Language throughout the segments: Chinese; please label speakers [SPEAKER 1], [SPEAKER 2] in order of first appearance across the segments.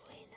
[SPEAKER 1] 会的。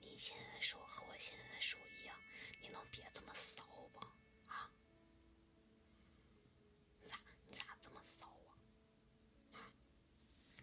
[SPEAKER 1] 你现在的手和我现在的手一样，你能别这么骚不？啊？咋？你咋这么骚啊？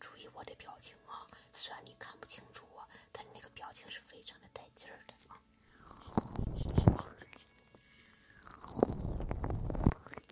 [SPEAKER 1] 注意我的表情啊！虽然你看不清楚我，但你那个表情是非常的带劲的啊！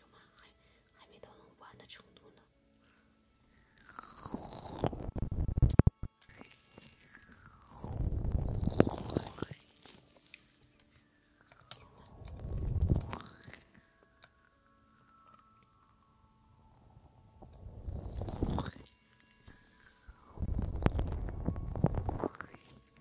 [SPEAKER 1] 有吗？还还没到能玩的程度呢。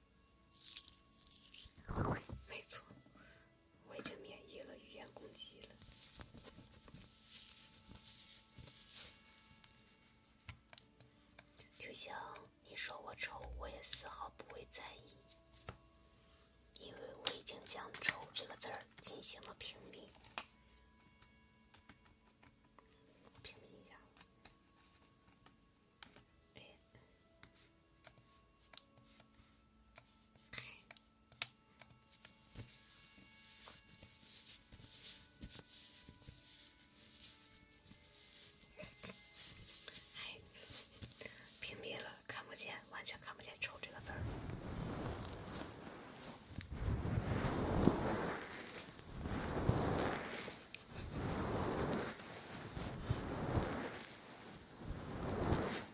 [SPEAKER 2] 没错，我已经免疫了语言攻击了。就像你说我丑，我也丝毫不会在意，因为我已经将“丑”这个字儿进行了屏蔽。屏蔽一下。哎，屏蔽了，看不见，完全看不见“丑”这个字儿。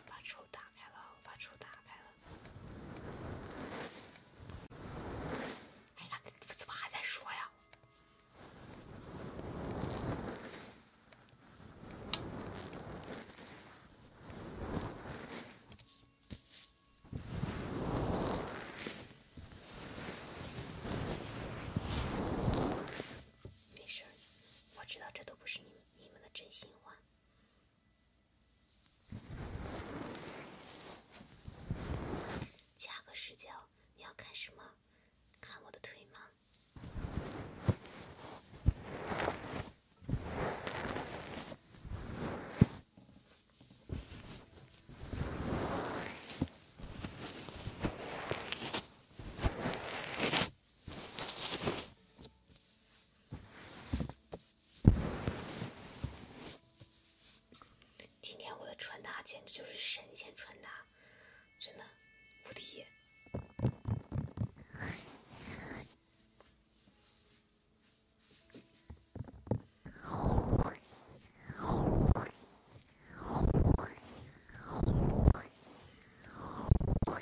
[SPEAKER 2] 把抽打开了，我把抽打开了。哎呀，怎么还在说呀？没事我知道这都。不是你们你们的真心话？加个视角，你要看什么？看我的腿吗？今天我的穿搭简直就是神仙穿搭，真的无敌！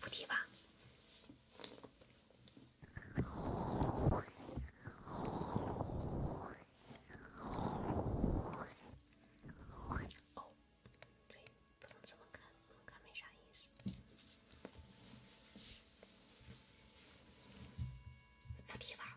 [SPEAKER 2] 不提吧。哦，对，不能这么看，这么看没啥意思。不提吧。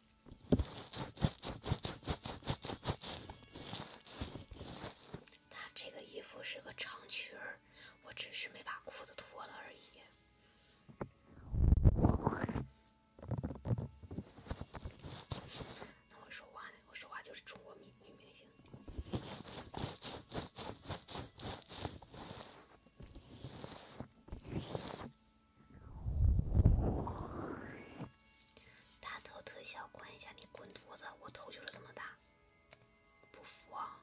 [SPEAKER 2] 他这个衣服是个长裙儿，我只是没把裤子脱了而已。我说话呢？我说话就是中国女明星。大头特效关一下，你滚犊子！我头就是这么大，不服啊！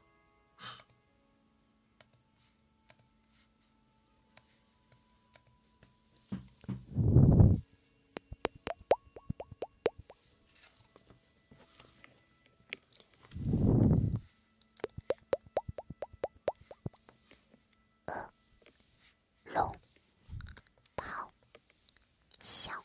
[SPEAKER 2] 恶龙咆哮。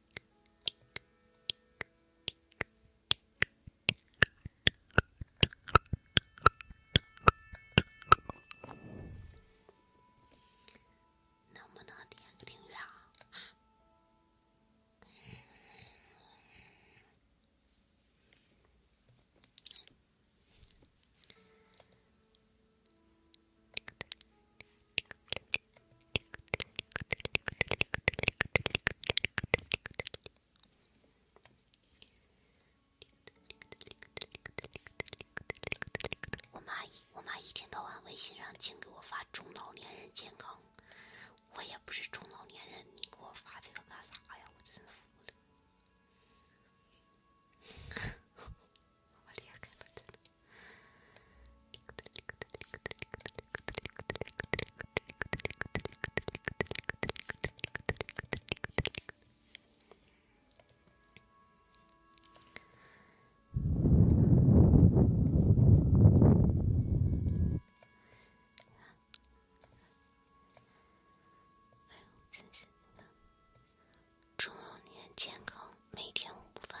[SPEAKER 2] 能不能点个订阅啊？我妈，我妈一天到晚微信上净给我发中老年人健康，我也不是中老年人，你给我发这个干啥呀？我真服 了！中老年健康，每天午饭。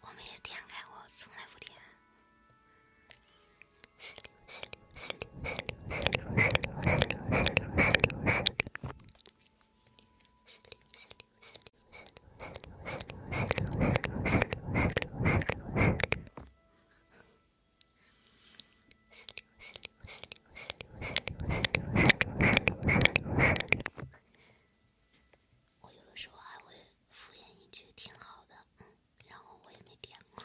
[SPEAKER 2] 我没点开过，从来不点。我有的时候还会敷衍一句挺好的，然后我也没点过。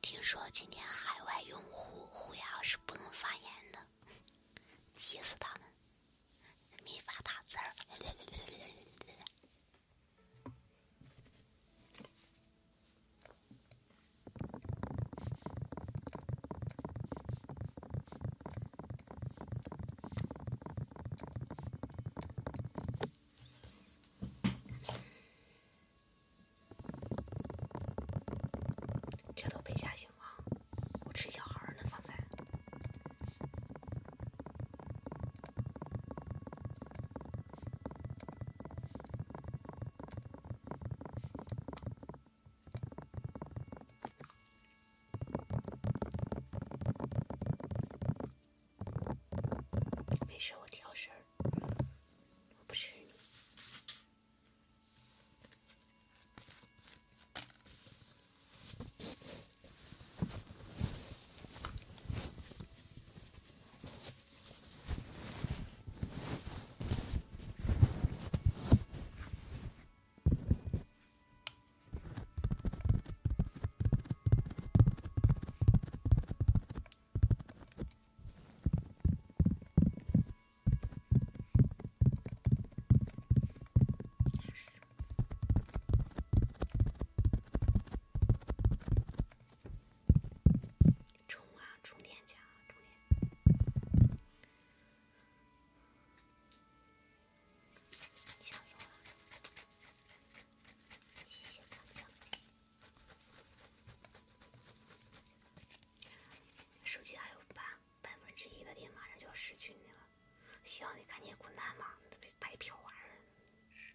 [SPEAKER 2] 听说今天海外用户胡杨是不能发言的，气死他们，没法打字儿。这都被吓醒了，我吃小孩呢，刚才。没事，我挑事我不是。充啊，充电器啊，充电。笑死了！谢谢大家。手机还有半百分之一的电，马上就要失去你了。行，你赶紧滚蛋吧，别白嫖玩意儿。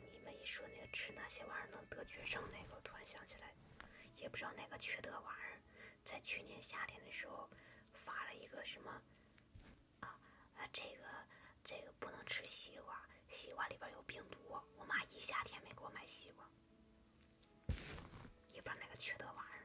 [SPEAKER 2] 你们一说那个吃那些玩意儿能得绝症那个，我突然想起来，也不知道哪个缺德玩意儿，在去年夏天的时候发了一个什么啊，这个这个不能吃西瓜，西瓜里边有病毒。我妈一夏天没给我买西瓜。一把那个缺德玩意儿，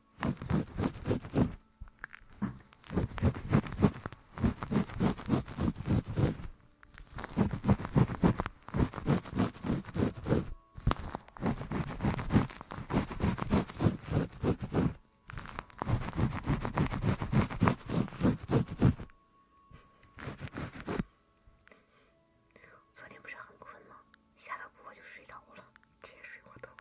[SPEAKER 1] 昨天不是很困吗？下了播就睡着了。这些水果都不。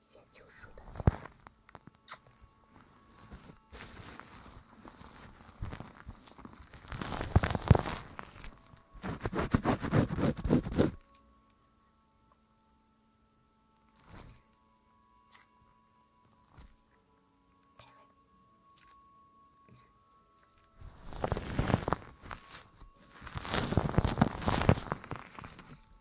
[SPEAKER 1] 写救赎的人。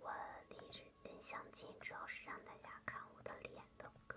[SPEAKER 2] 我这人相亲主要是让大家看我的脸的，哥。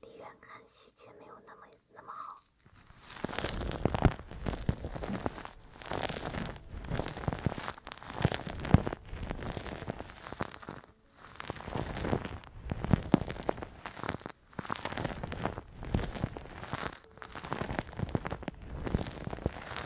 [SPEAKER 2] 离远看细节没有那么那么好。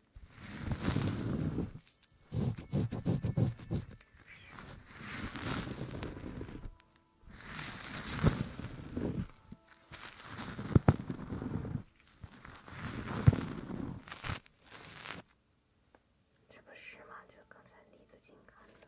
[SPEAKER 2] 这不是吗？就刚才李子衿看的。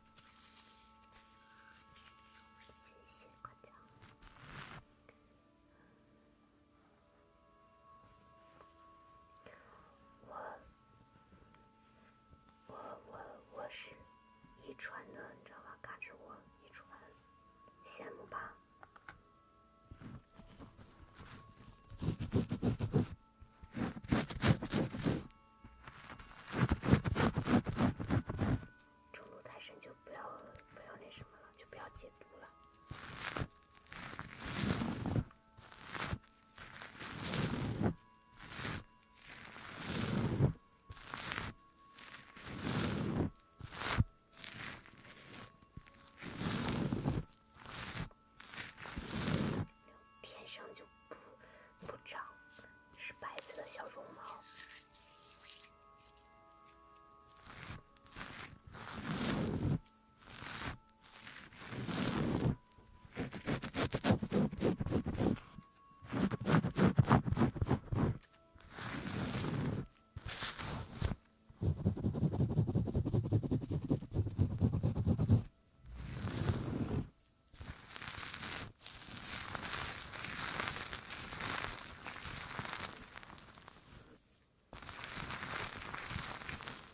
[SPEAKER 2] 谢谢夸奖。我我我我是遗传的，你知道吧？看着我遗传，羡慕吧？中毒太深就不要不要那什么了，就不要解毒了。天生就不不长。是白色的小绒毛。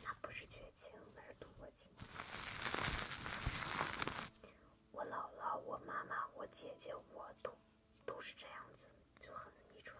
[SPEAKER 2] 那不是绝情，那是多情。我姥姥、我妈妈、我姐姐，我都都是这样子，就很遗传。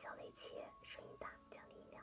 [SPEAKER 2] 小雷切，声音大，降低音量。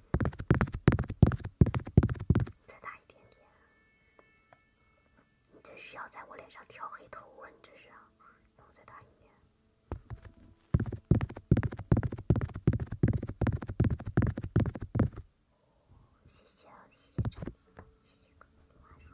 [SPEAKER 1] 再打一点点，你这是要在我脸上挑黑头啊！你这是，那我再打一遍。谢谢，谢谢长亭，谢谢各位观众。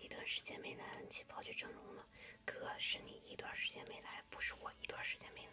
[SPEAKER 2] 一段时间没来，气跑去整容了。哥，是你一段时间没来，不是我一段时间没来。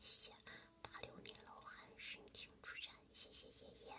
[SPEAKER 1] 谢谢八六年老汉申请出战，谢谢爷爷。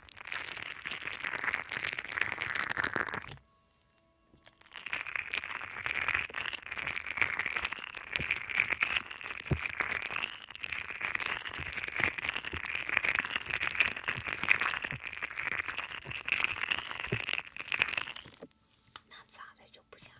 [SPEAKER 1] 那咋的就不想了。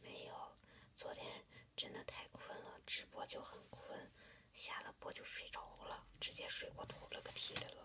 [SPEAKER 2] 没有，昨天真的太困了，直播就很困。下了播就睡着了，直接睡过头了，个屁的了！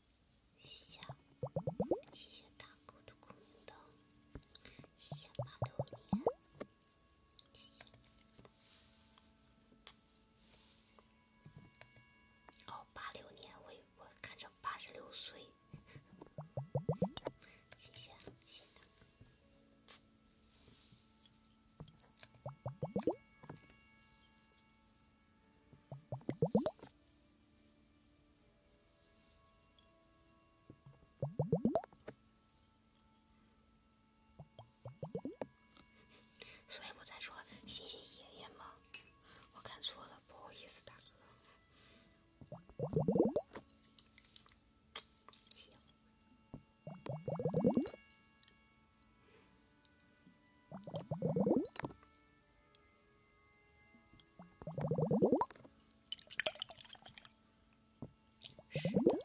[SPEAKER 2] 谢谢，谢谢大狗的空明刀，谢谢八六年，谢谢哦，八六年，我我看着八十六岁，谢谢，谢谢。所以我在说谢谢爷爷吗？我看错了，不好意思，大哥。十个，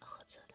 [SPEAKER 2] 合作的。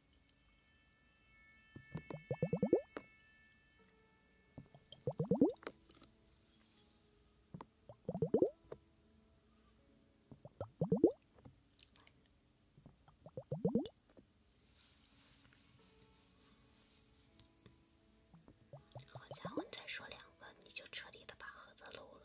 [SPEAKER 2] 好家伙，你再说两个，你就彻底的把盒子漏了。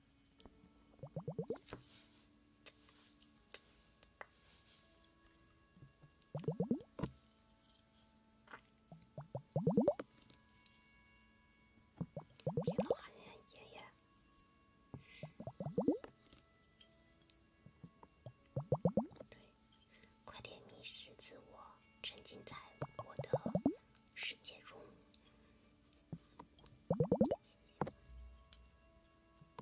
[SPEAKER 2] 别老喊人家爷爷。对，快点迷失自我，沉浸在我的世界中。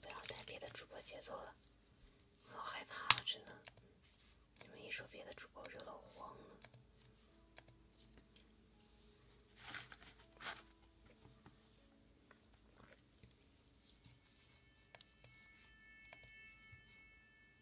[SPEAKER 2] 不要再别的主播节奏了，我害怕了，真的。你们一说别的主播，我就老慌了。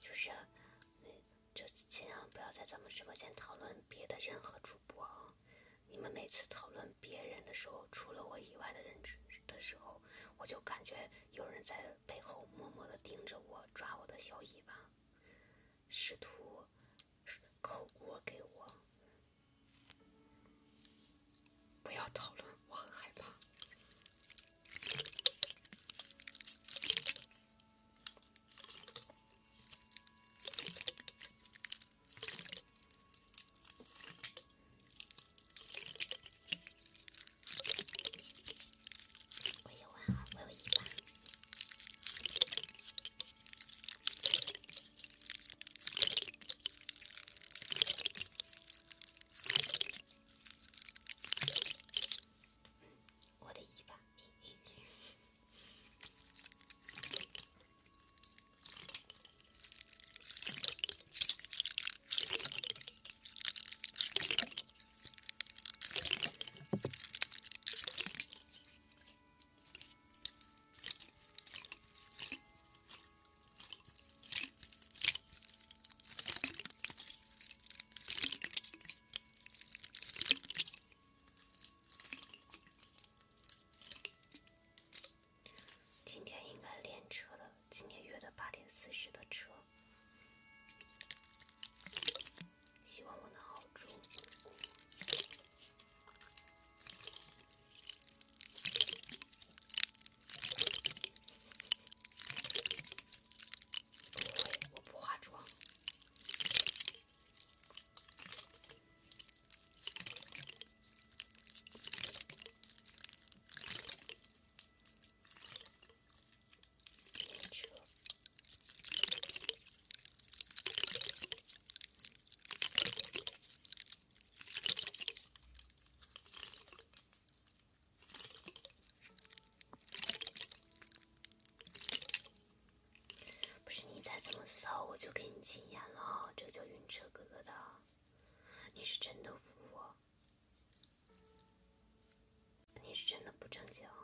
[SPEAKER 2] 就是，就尽量不要在咱们直播间讨论别的任何主播啊！你们每次讨论别人的时候，除了我以外的人的时候，我就感觉有人在背后默默的盯着我，抓我的小尾巴，试图扣锅给我。不要讨论，我很害怕。我有啊，我有一把。我的尾巴。今天应该练车的，今天约的八点四十的车，希望我能熬住。我不化妆。不是你再这么骚，我就给你禁言了。这叫晕车哥哥的，你是真的服我，你是真的不正经。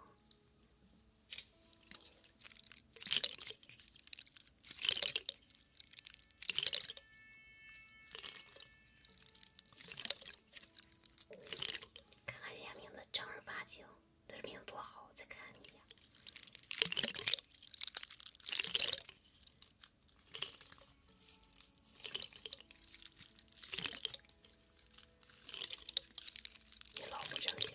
[SPEAKER 2] 看看人家名字正儿八经，这名字多好！再看一眼，你老不正经。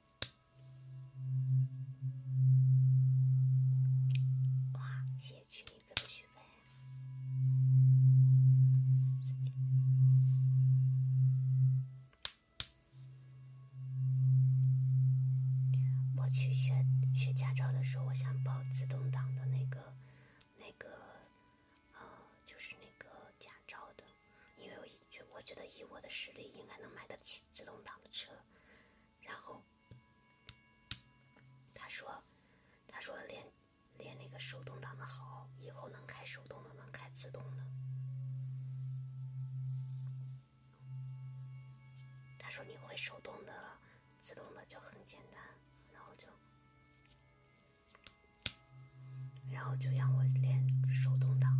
[SPEAKER 1] 哇，写曲名歌曲呗！
[SPEAKER 2] 我去学学驾照的时候，我想报自动挡的那个那个呃，就是那个驾照的，因为我觉我觉得以我的实力应该能买得起自动挡的车。然后，他说：“他说练练那个手动挡的好，以后能开手动的，能开自动的。”他说：“你会手动的，自动的就很简单。”然后就，然后就让我练手动挡。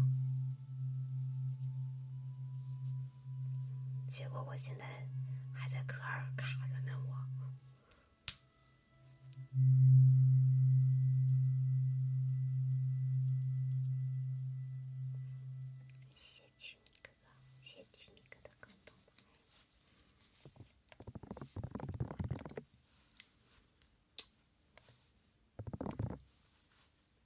[SPEAKER 2] 结果我现在还在科二卡着呢，我。谢哥哥，谢哥哥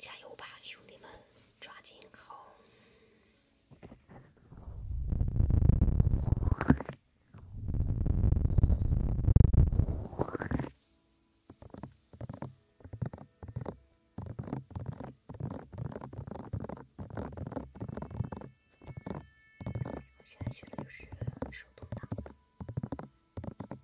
[SPEAKER 2] 加油吧，兄弟们，抓紧考！我现在学的就是手动挡。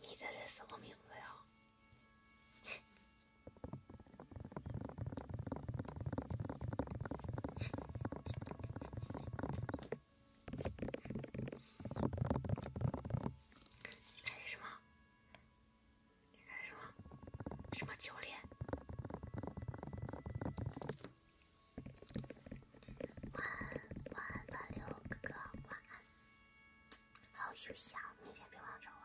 [SPEAKER 2] 你这是什么名字呀？你干什么？你干什么？什么教练？晚安，晚安，晚六哥哥，晚安，好休息啊，明天别忘了找我。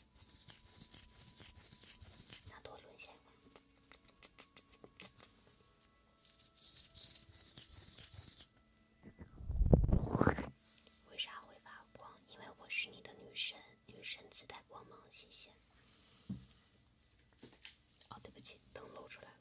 [SPEAKER 2] 那多沦陷？为啥会发光？因为我是你的女神，女神自带光芒，谢谢。哦，对不起，灯露出来了。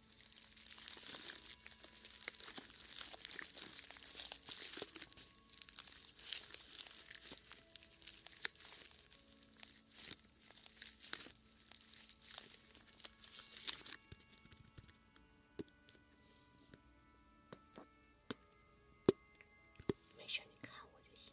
[SPEAKER 2] 没事，你看我就行。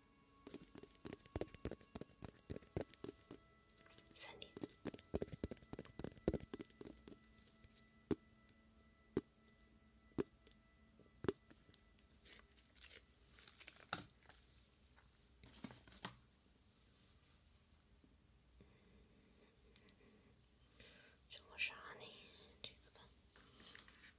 [SPEAKER 2] 三点。讲个啥呢？这个吧。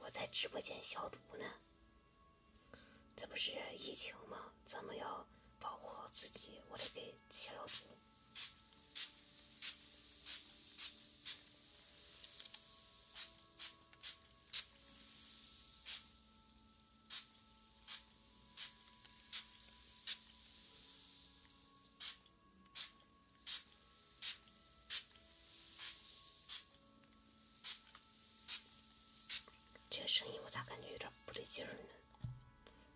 [SPEAKER 2] 我在直播间消毒呢，这不是疫情吗？咱们要保护好自己，我得给消消毒。这个声音我咋感觉有点不对劲呢？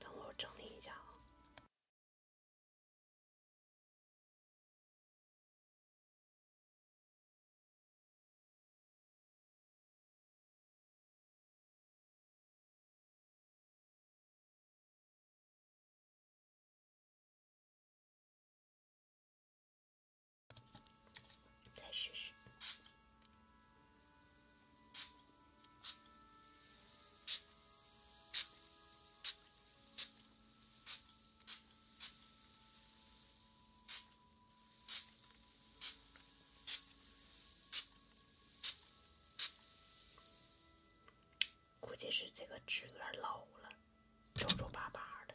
[SPEAKER 2] 等我整理一下啊。试试。估计是这个纸有点老了，皱皱巴巴的。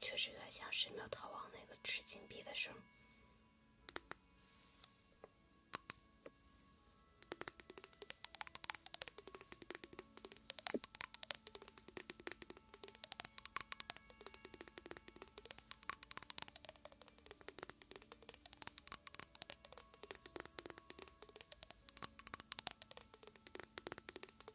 [SPEAKER 2] 确实有点像《神庙逃亡》那个掷金币的声。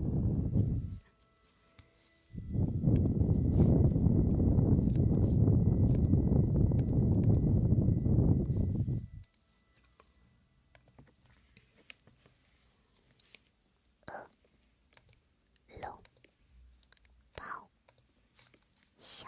[SPEAKER 2] 饿龙包小。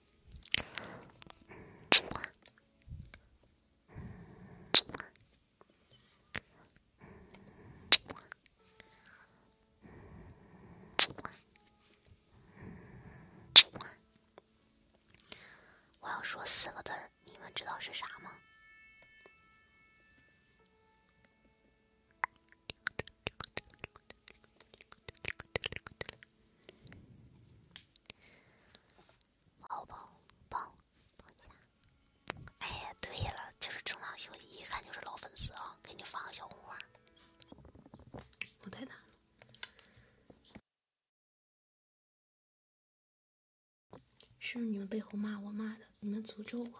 [SPEAKER 2] 我要说四个字，你们知道是啥吗？好棒棒！哎呀，对了，就是中浪兄弟，一看就是老粉丝啊，给你放个小红花。我太大了，是不是你们背后骂我骂的？你们诅咒我？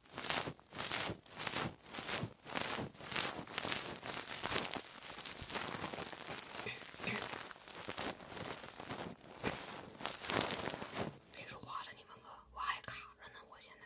[SPEAKER 1] 别说话了，你们我，我还卡着呢，我现在。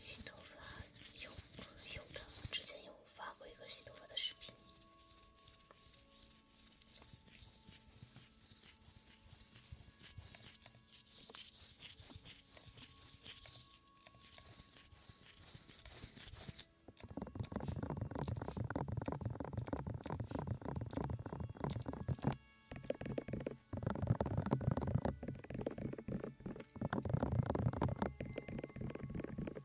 [SPEAKER 2] 新头发有有的，之前有。我发过一个洗头发的视频。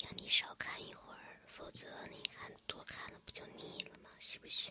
[SPEAKER 2] 让你少看一会儿，否则你看多看了不就腻了吗？是不是？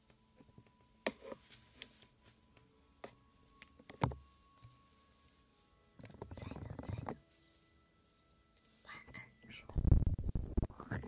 [SPEAKER 1] 在呢，在呢。晚安，猪。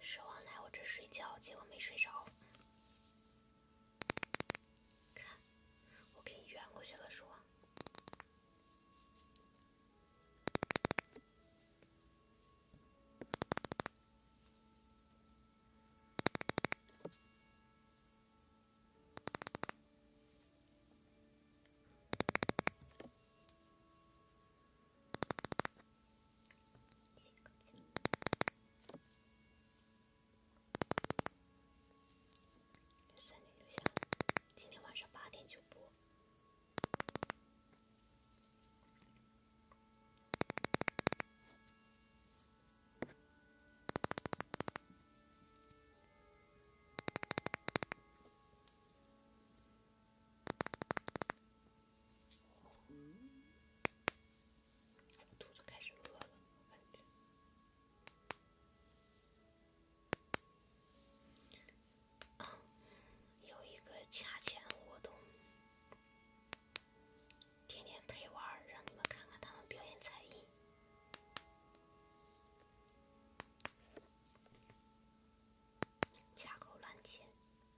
[SPEAKER 2] 奢望来我这睡觉，结果没睡着。看，我给你圆过去了，奢望。三六六三，今天晚上八点就播。肚子开始饿了，我感觉。啊，有一个掐钱活动，天天陪玩，让你们看看他们表演才艺，掐口烂钱。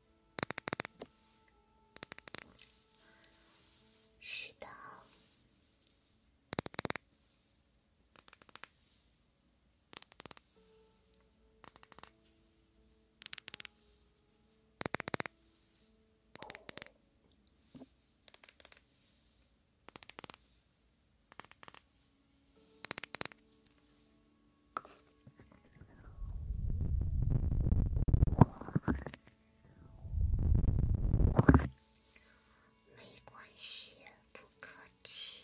[SPEAKER 2] 是
[SPEAKER 1] 的。没关系，不客气。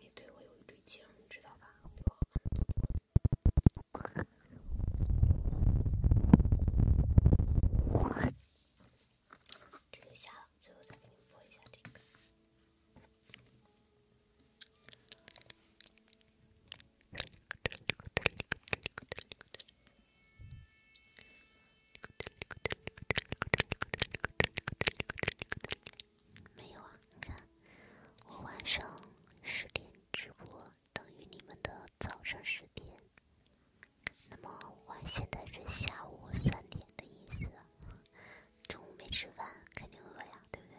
[SPEAKER 2] 你对我有一对劲儿，你知道吧？比我好多了。听不下了，最后再给您播一下这个。没有啊，你看我晚上十点直播，等于你们的早上十点。那么我现在是下午三点的意思，中午没吃饭，肯定饿呀，对不对？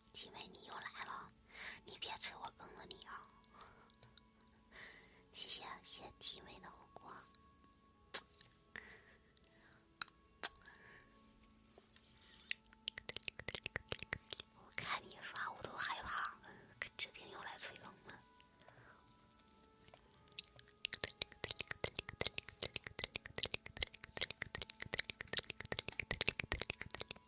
[SPEAKER 2] 七妹，你又来了，你别催我更了你啊！谢谢谢谢七妹的火锅。我看你刷，我都害怕，指定又来催更了。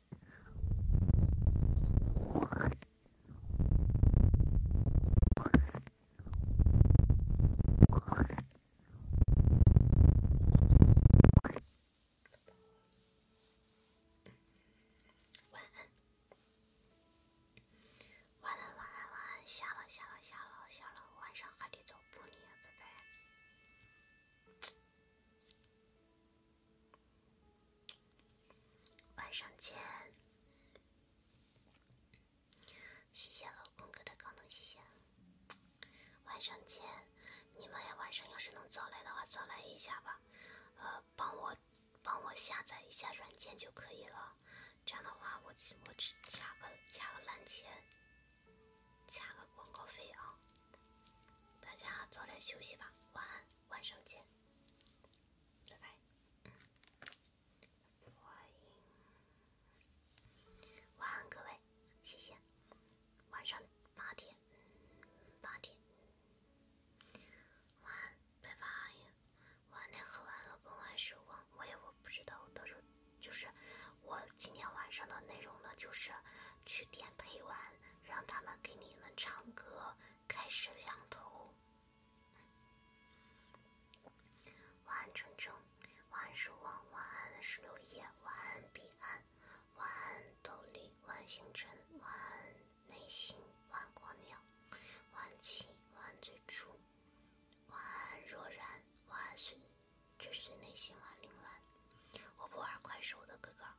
[SPEAKER 2] 晚安，晚安，晚安，下了，下了，下了，下了。晚上还得走步呢，拜拜。晚上见，谢谢老公哥的高能谢谢。晚上见，你们晚上要是能早来的话，早来一下吧。呃，帮我帮我下载一下软件就可以了。这样的话，我我只卡个卡个烂钱，卡个广告费啊。大家早点休息吧，晚安，晚上见。拜拜，欢迎，晚安各位，谢谢，晚上八点，八点，晚安，拜拜，晚点喝完了关完书，我也我不知道，到时候就是我今天晚上的内容呢，就是去点配完，让他们给你们唱歌。开始仰头。晚安，程程。晚安，守望。晚安，石榴叶。晚安，彼岸。晚安，斗笠。晚星辰。晚安，内心。晚光鸟。晚起。晚最初。晚安，若然。晚安，随追随内心。晚铃兰。我不玩快手的，哥哥。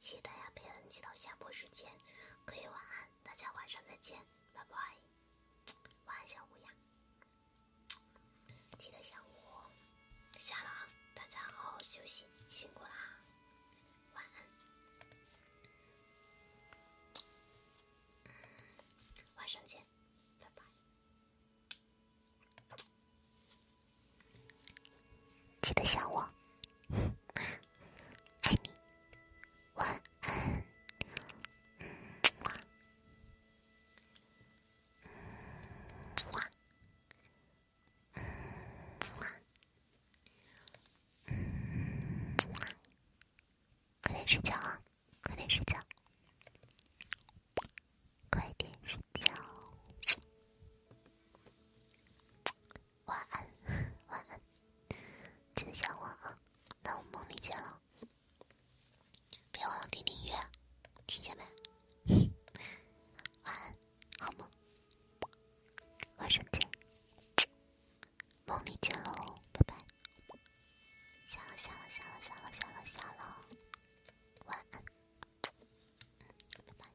[SPEAKER 2] 谢谢大家陪恩直到下播时间，各位晚安，大家晚上再见，拜拜，晚安小乌鸦，记得想我，下了啊，大家好好休息，辛苦啦，晚安，晚上见，拜拜。记得想我，爱你，晚安，嗯，嗯，嗯，快点睡觉，啊，快点睡觉，快点睡觉。晚安，晚安，记得想我啊！那我梦里见了，别忘了听听音乐，听见没？晚安，好梦，晚上见，梦里见喽，拜拜！下了，下了，下了，下了，下了，下了，晚安，拜拜。